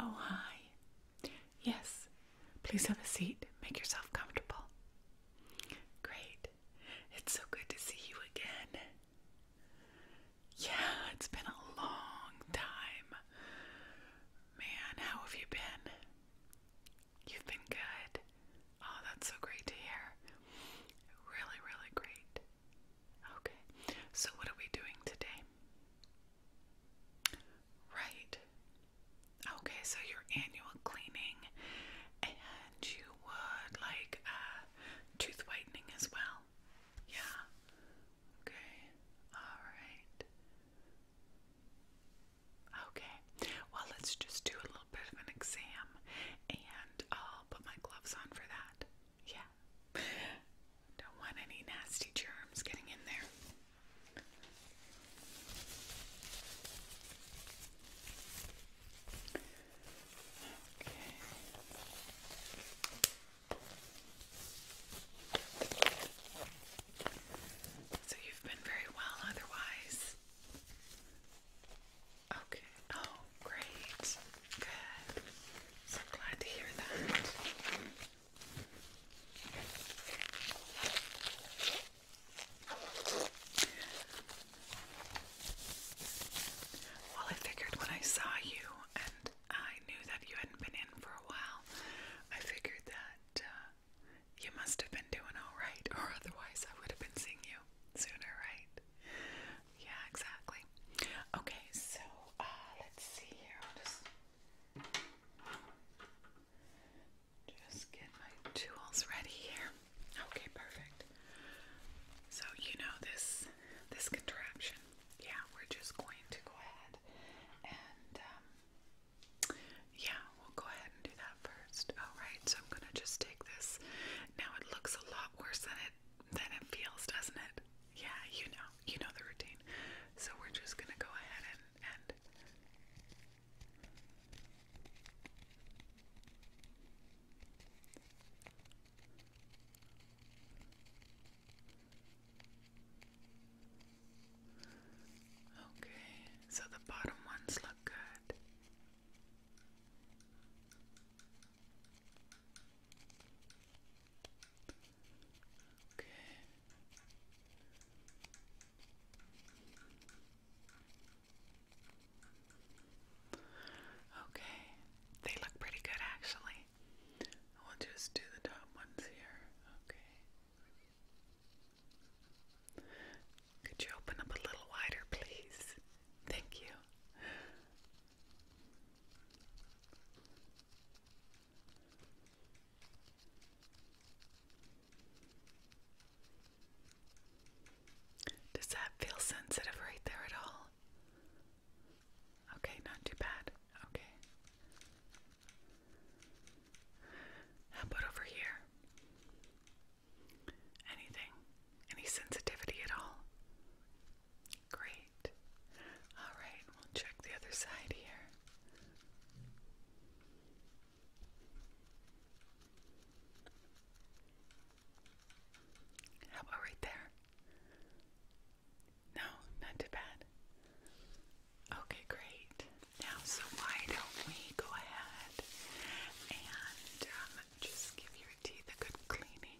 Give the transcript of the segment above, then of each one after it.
Oh, hi. Yes, please have a seat. Make yourself comfortable. Great. It's so good to see you again. Yeah, it's been a long time. Man, how have you been? You've been good. Oh, that's so great to hear. Really, really great. Okay, so what are we doing today? Right. Okay, so your annual cleaning and you would like uh, tooth whitening as well. Yeah. Okay. All right. Okay, well, let's just do a little bit of an exam and I'll put my gloves on for that. Yeah, don't want any nasty germs getting in there. Okay. So you've been very well otherwise. Okay. Oh, great. Good. So glad to hear that. Well, I figured when I saw you and I knew that you hadn't been in for a while, I figured that uh, you must have been doing all right, or otherwise I would have been seeing you sooner, right? Yeah, exactly. Okay, so uh, let's see here. I'll just get my tools ready here. Okay, perfect. So you know this this contraption. Yeah, we're just going to go ahead and um, yeah, we'll go ahead and do that first. Alright, so I'm gonna just take this. Now it looks a lot worse than it than it feels, doesn't it? Yeah, you know. You know the routine. So we're just gonna go ahead and and Okay, so the bottom ones look good. Okay. Okay, they look pretty good actually. We'll just do the top ones here. Okay. Could you open up a little wider, please? Thank you. Does that feel sensitive right there at all? Okay, not too bad. Okay. How about over here? Anything? Any sensitivity at all? Great. All right, we'll check the other side here. How about right there? No, not too bad. Okay, great. Now, so why don't we go ahead and um, just give your teeth a good cleaning?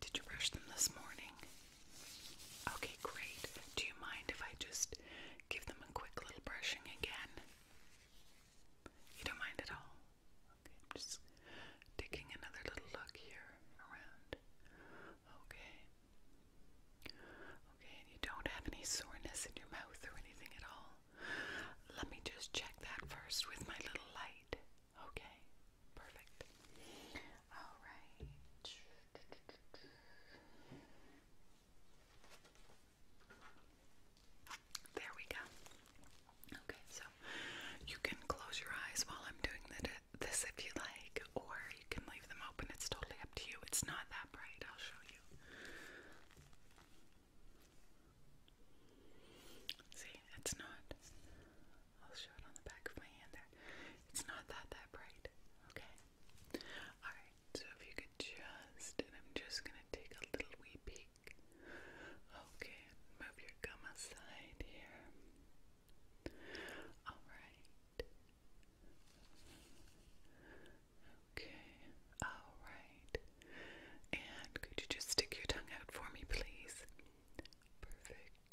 Did you brush them this morning? Okay, great. Do you mind if I just give them a quick little brushing again? You don't mind at all? I'm just taking another little look here around. Okay. Okay, and you don't have any soreness in your mouth or anything at all. Let me just check that first with my little light. Okay, perfect. All right. There we go. Okay, so you can close your eyes while I'm doing the this if you like, or you can leave them open. It's totally up to you. It's not that bright. I'll show you. See, it's not. I'll show it on the back of my hand there. It's not that that bright. Okay. All right. So if you could just, and I'm just gonna take a little wee peek. Okay. Move your gum aside here. All right. Okay, alright. And could you just stick your tongue out for me, please? Perfect.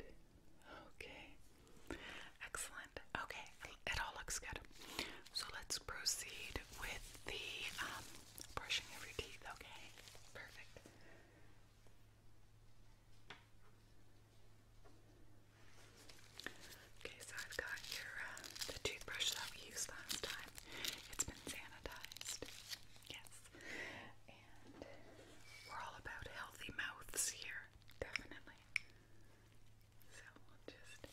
Okay, excellent. Okay, it all looks good. So let's proceed with the um, brushing of your teeth, okay? Perfect. Okay, so I've got your uh, the toothbrush that we used last time. It's been sanitized. Yes. And we're all about healthy mouths here, definitely. So we'll just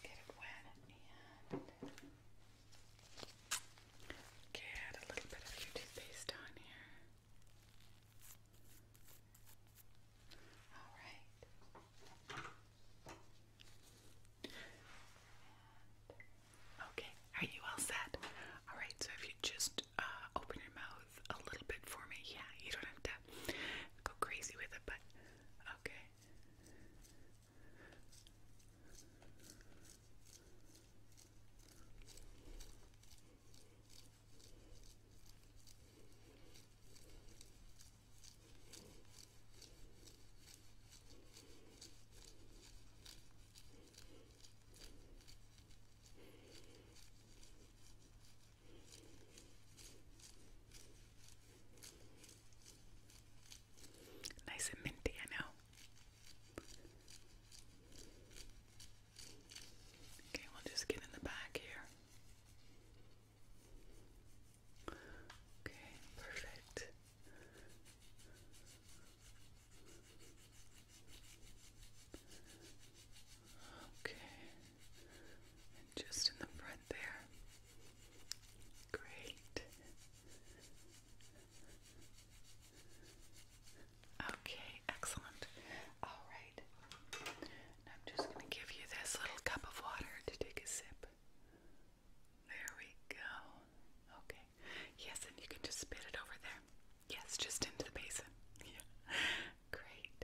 get it wet and get a little bit of your toothpaste on here. All right. okay, are you all set? All right, so if you just uh, open your mouth a little bit for me, yeah, you don't have to go crazy with it, but okay. Nice and minty, I know. Okay, we'll just get in the back here. Okay, perfect. Okay, just in the front there. Great. Okay, excellent. All right. I'm just going to give you this little cup of water to take a sip. There we go. Okay. Yes, and you can just spit it over there. Yes, just into the basin. Yeah. Great.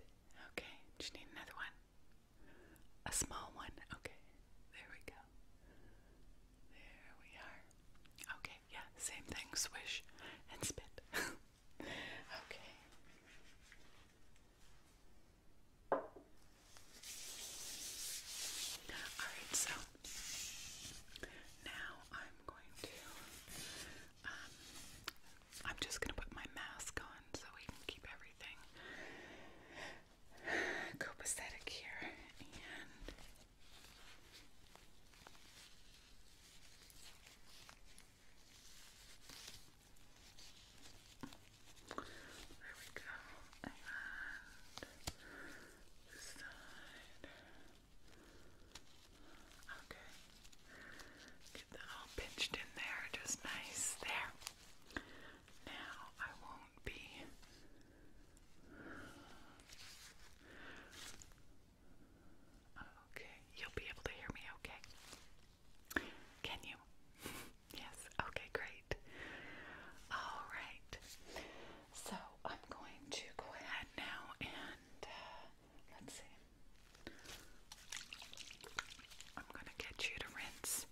Okay. Do you need another one? A small one. Okay. There we go. There we are. Okay. Yeah. Same thing. Swish and spit. Okay. Alright, so now I'm going to um, I'm just gonna put my mask on so we can keep everything copacetic here there we go. And Okay. Get that all pinched in there, just nice. There. Now I won't be Okay, you'll be able to hear me okay. Can you? yes, okay, great. All right, so I'm going to go ahead now and uh, let's see. I'm going to get you to rinse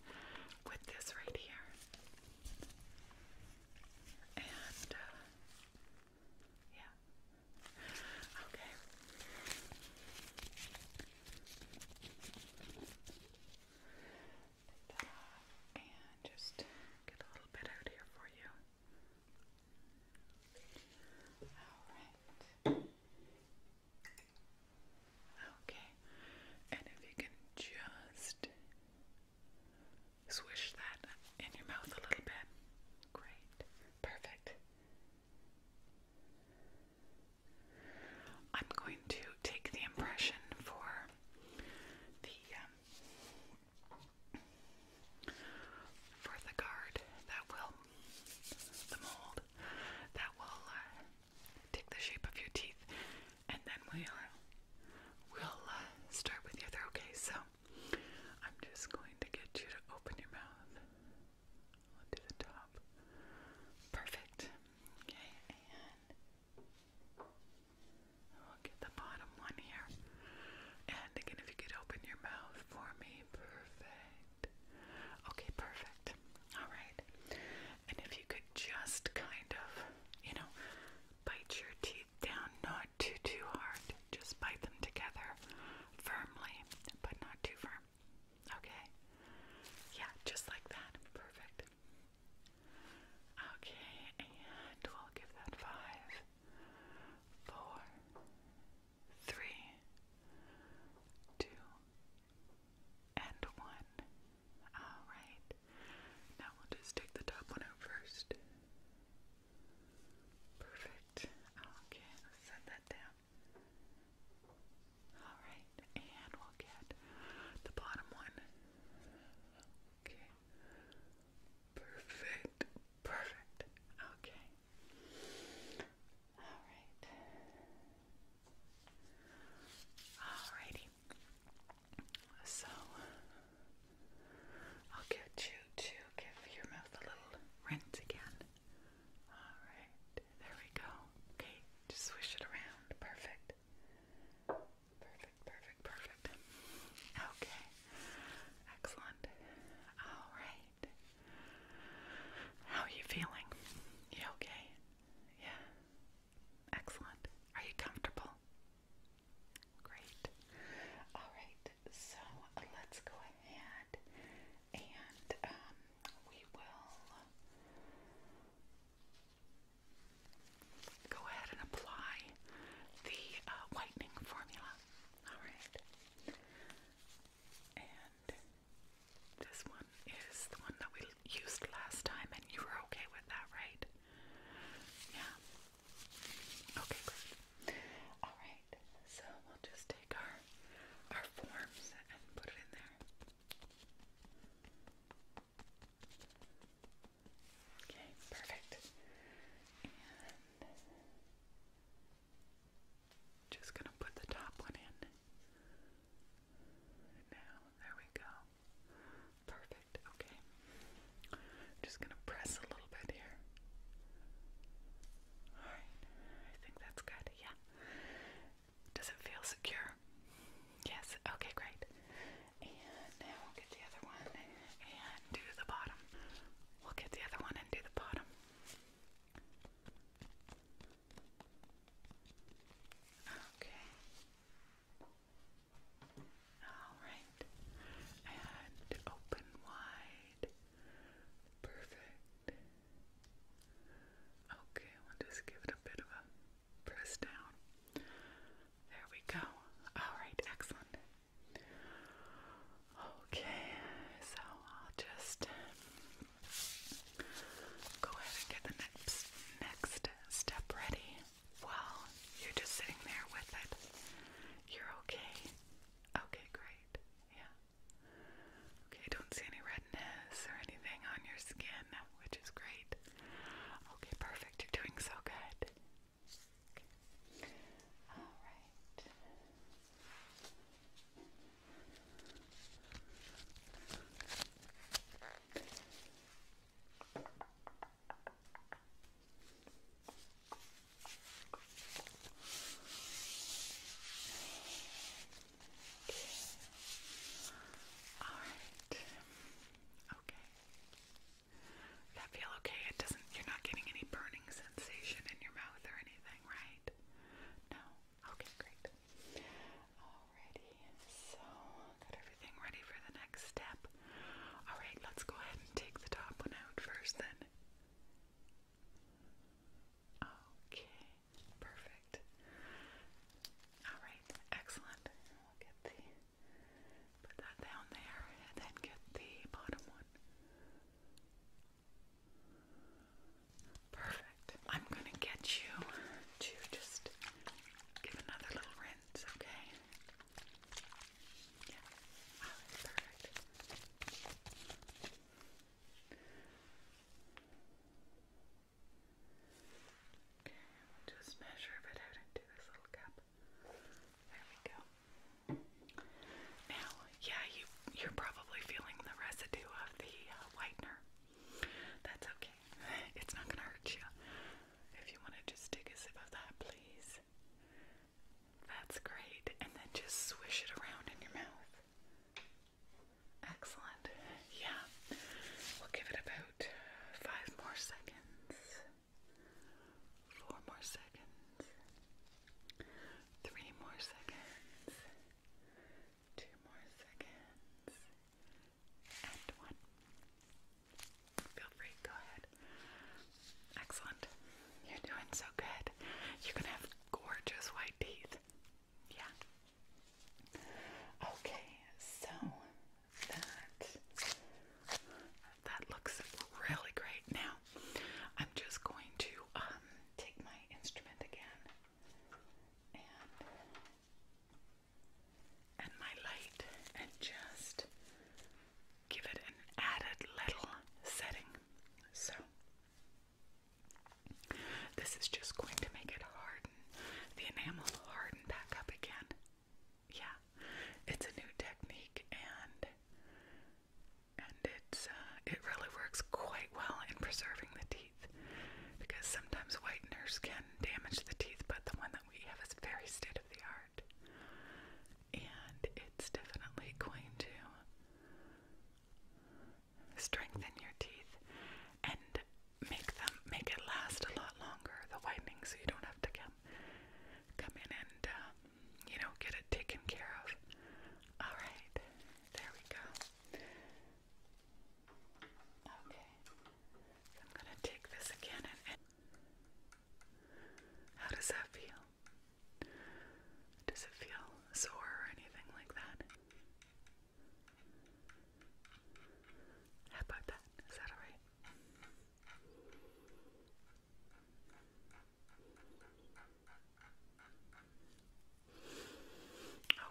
with this right here. And, uh, yeah, Okay. and just get a little bit out here for you. Alright. Okay. And if you can just swish that in your mouth a little bit. Great. Perfect. I'm going to take the impression for the um, for the guard that will the mold that will uh, take the shape of your teeth, and then we'll we'll uh, start with your throat. Okay, so I'm just going to get you to open your mouth to the top. Perfect. Okay, and we'll get the bottom one here. And again, if you could open your mouth for me, perfect. Okay, perfect. All right. And if you could just kind of, you know, bite your teeth down, not too, too hard. Just bite them together firmly, but not too firm. Okay. Yeah, just like that. Perfect. Okay, and we'll give that five, four, three, two, and one. Alright. Now we'll just take the top one out first. Perfect. Okay, let's set that down. Alright, and we'll get the bottom one. Okay. Perfect. Perfect. Okay. Alright. Alrighty. So I'll get you to give your mouth a little rinse again. Alright, there we go. Okay, just swish it around. Perfect. Perfect, perfect, perfect. Okay, excellent. Alright. How are you feeling? You okay? Yeah. Excellent. Are you comfortable? Great. Alright so let's go ahead and um, we will go ahead and apply the uh, whitening formula. All right. And this one is the one that we used last time, and you were okay with that, right? Yeah. Okay, Alright, so we'll just take our our forms and put it in there. Okay, perfect. just gonna put the top one in. Now, there we go. Perfect. Okay. Just gonna press a little bit here. Alright, I think that's good. Yeah. Does it feel secure? Yes. Okay, great. And now we'll get the other one and do the bottom. We'll get the other one and do the bottom. Okay. Alright. And open wide. Perfect. Okay, we'll just give it a bit of a press down. There we go. Alright, excellent. Okay, so I'll just go ahead and get the next next step ready. Well, you're just sitting there with it. You're okay. Okay, great. Yeah. Okay, don't see any redness or anything on your skin, which is great. Okay, perfect. You're doing so good. All right. Alright. Okay. That feel okay? It doesn't you're not getting any burning sensation in your mouth or anything, right? No? Okay, great. Alrighty, so got everything ready for the next step. Alright, let's go ahead and take the top one out first then. Okay, perfect. Alright, excellent. We'll get the put that down there and then get the bottom one. Perfect. I'm gonna get you to just give another little rinse, okay? Yeah. perfect. Okay, just measure it out into this little cup. There we go. Now, yeah, you you're probably feeling the residue of the uh, whitener. That's okay. It's not gonna hurt you. If you want to just take a sip of that, please. That's great. And then just swish it around in your mouth. Excellent. Yeah. We'll give it about five more seconds. Four more seconds. Three more seconds. Two more seconds. And one. Feel free, go ahead. Excellent. You're doing so good. You can have gorgeous white teeth. Yeah. Okay, so that that looks really great. Now, I'm just going to um, take my instrument again and my light and just give it an added little setting. So this is just going to make it harden. The enamel will harden back up again. Yeah, it's a new technique and and it's uh, it really works quite well in preserving the teeth because sometimes whiteners can damage the teeth, but the one that we have is very state of the art and it's definitely going to strengthen your teeth and make them make it last a lot longer the whitening so you don't have to come come in and uh, you know get it taken care of all right there we go okay i'm gonna take this again how does that feel does it feel sore or anything like that? about that? Is that alright?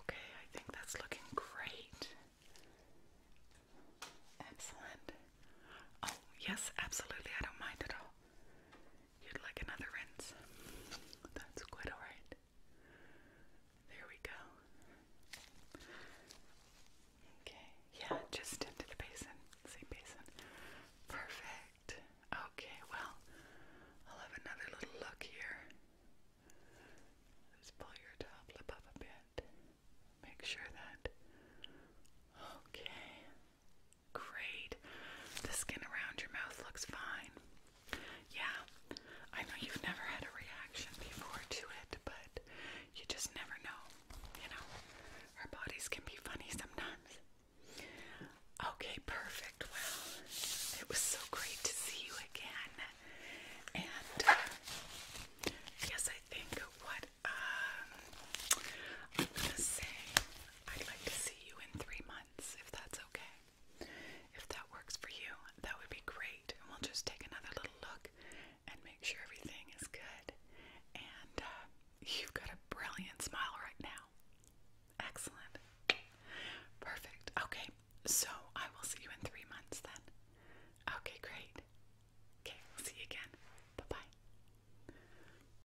Okay, I think that's looking great. Excellent. Oh, yes, absolutely. I don't mind at all. You'd like another rinse. That's quite alright. There we go. Okay. Yeah, just into the basin. Same basin. Perfect. Okay, well, I'll have another little look here. Just pull your top up a bit. Make sure that. Okay. Great. The skin around your mouth looks fine. Yeah, I know you've never had a reaction before to it, but you just never know. You know, our bodies can be funny sometimes. Okay, perfect. Well, it was so great to see you again. And yes, uh, I think what um, I'm gonna say, I'd like to see you in three months if that's okay. If that works for you, that would be great. And we'll just take another little look and make sure everything is good. And uh, you've got a brilliant smile right now. Excellent. Perfect. Okay, so I will see you in three months then. Okay, great. Okay, we'll see you again. Bye bye.